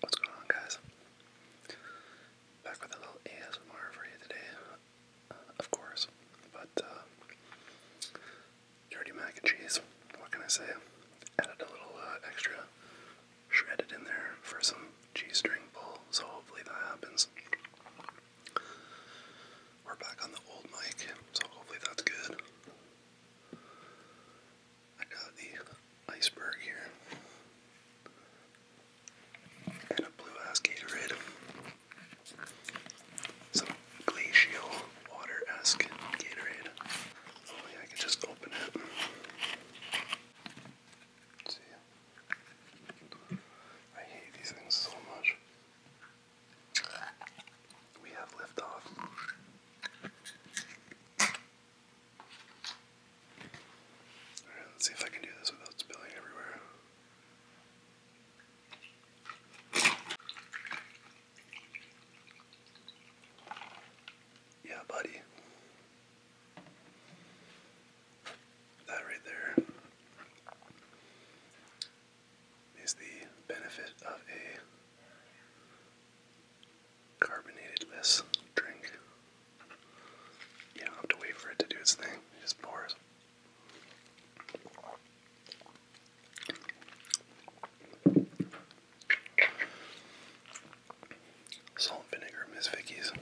What's going on, guys? Back with a little ASMR for you today, uh, of course. But uh, dirty mac and cheese. What can I say? Added a little uh, extra shredded in there for some cheese string pull. So hopefully that happens. We're back on the old mic, so hopefully that's good. I got the iceberg here. And a blue ass Gatorade. Some glacial water esque Gatorade. Oh, I can just open it. see. I hate these things so much. We have liftoff. Alright, let's see if I can do this without spilling everywhere. Yeah, buddy. That right there is the benefit of a carbonated-less drink. You do have to wait for it to do its thing, just pours. Salt vinegar, Miss Vicky's.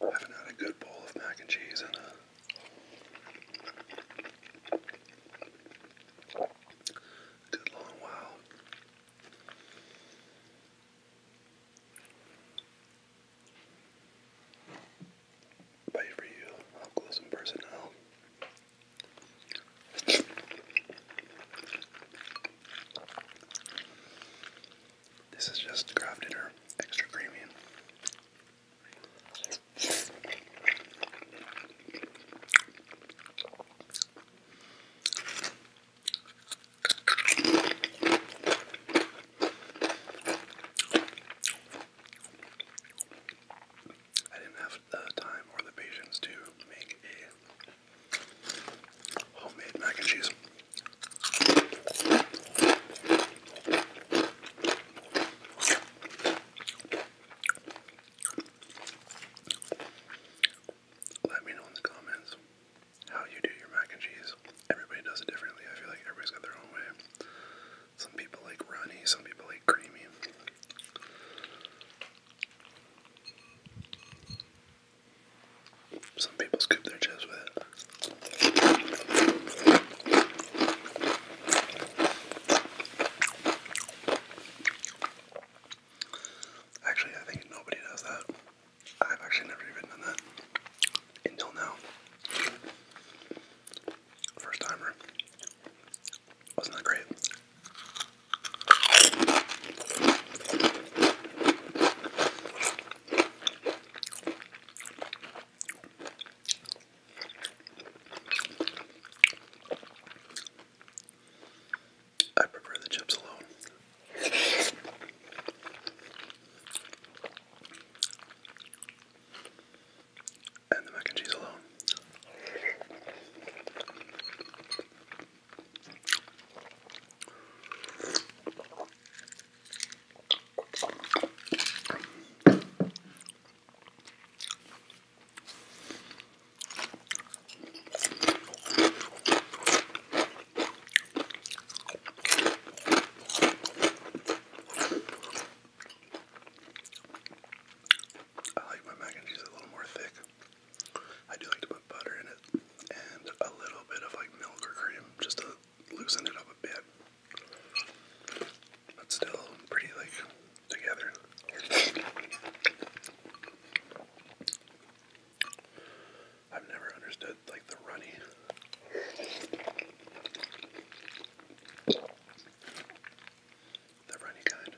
I've had a good bowl of mac and cheese and a good long while. Pay for you, up close and personnel. This is just a craft dinner, extra creamy. I didn't have the time or the patience to make a homemade mac and cheese let me know in the comments how you do your mac and cheese. Everybody does it differently. I feel like everybody's got their own way. Some people like runny, some people like creamy. Some people scoop their chips with it. Actually, I think nobody does that. I've actually never even done that until now. First timer. Wasn't that great? I prefer the chips alone. And the mac and cheese alone. I like my mac and cheese a little more thick. I do like to put butter in it and a little bit of like milk or cream just to loosen it up a bit. But still pretty like together. I've never understood like the runny. The runny kind.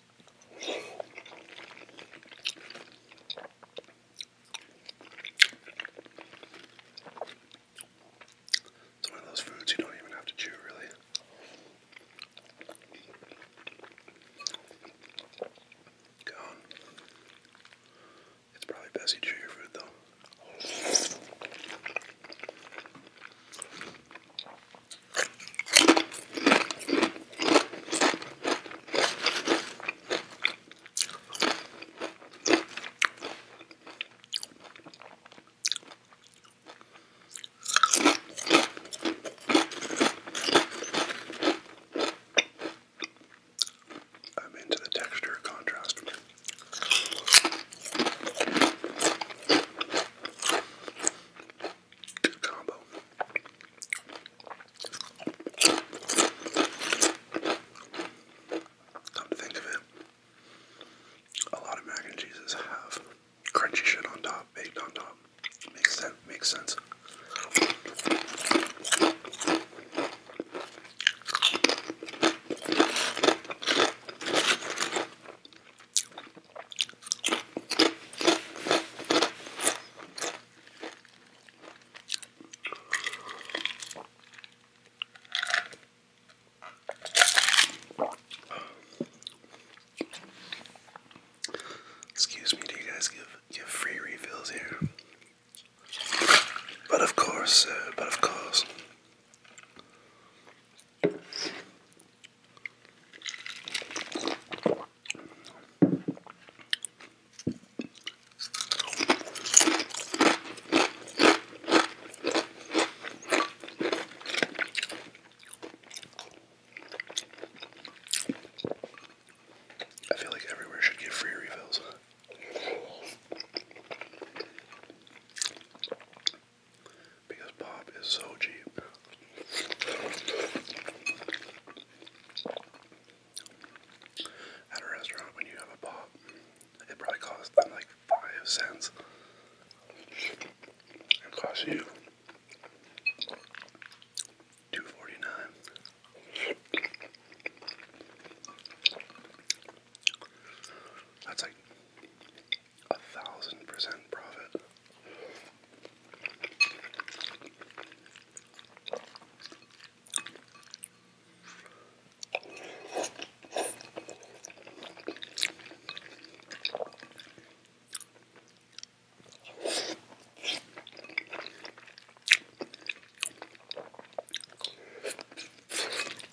It's one of those foods you don't even have to chew, really. Go It's probably best you chew your food, though. I'm into the texture contrast. Good combo. Come to think of it, a lot of mac and cheeses have crunchy shit on top, baked on top. Makes sense. Makes sense. Excuse me, do you guys give give free refills here? But of course, uh, but of course. I feel like everywhere should get free refills because pop is so cheap. At a restaurant, when you have a pop, it probably costs them like five cents. It costs you two forty nine. That's like a thousand percent profit.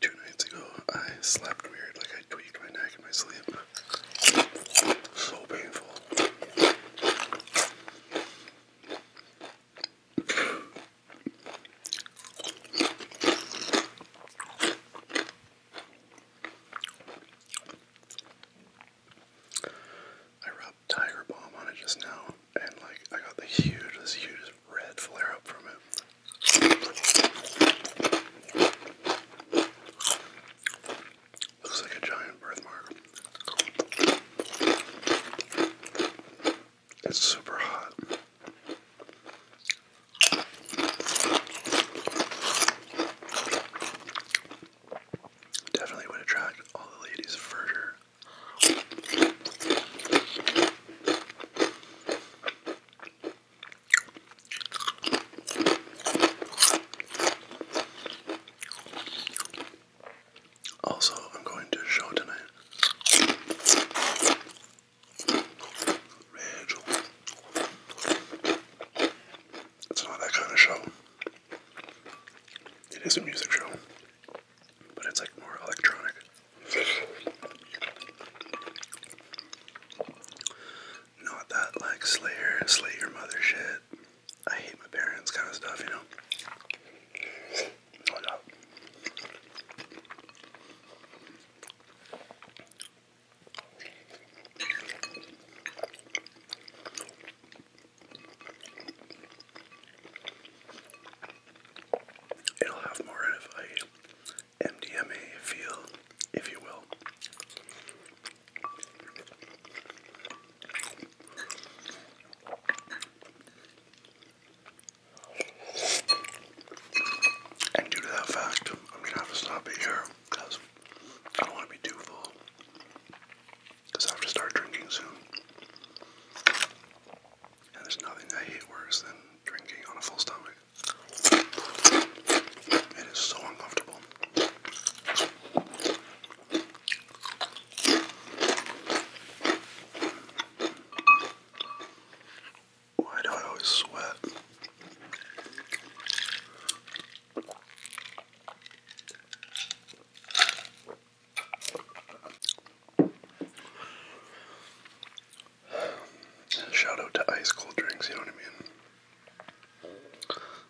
Two nights ago, I slept weird, like I tweaked my neck in my sleep. So painful. I rubbed Tiger Balm on it just now, and like I got the hugest, hugest red flare up from it. Looks like a giant birthmark. It's super hot. Definitely would attract all the ladies for sure. Also, I'm going to show tonight. It's not that kind of show. It is a music show, but it's like more electronic. Not that like Slayer, slay your mother shit. I hate my parents kind of stuff, you know. No It'll have more of a MDMA feel, if you will. And due to that fact, I'm gonna have to stop it here because I don't want to be too full. Because I have to start drinking soon. And there's nothing I hate worse than drinking on a full stomach. It is so uncomfortable. Why do I always sweat? Shout out to ice cold drinks, you know what I mean?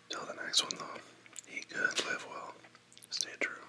Till the next one though, eat good, live well, stay true.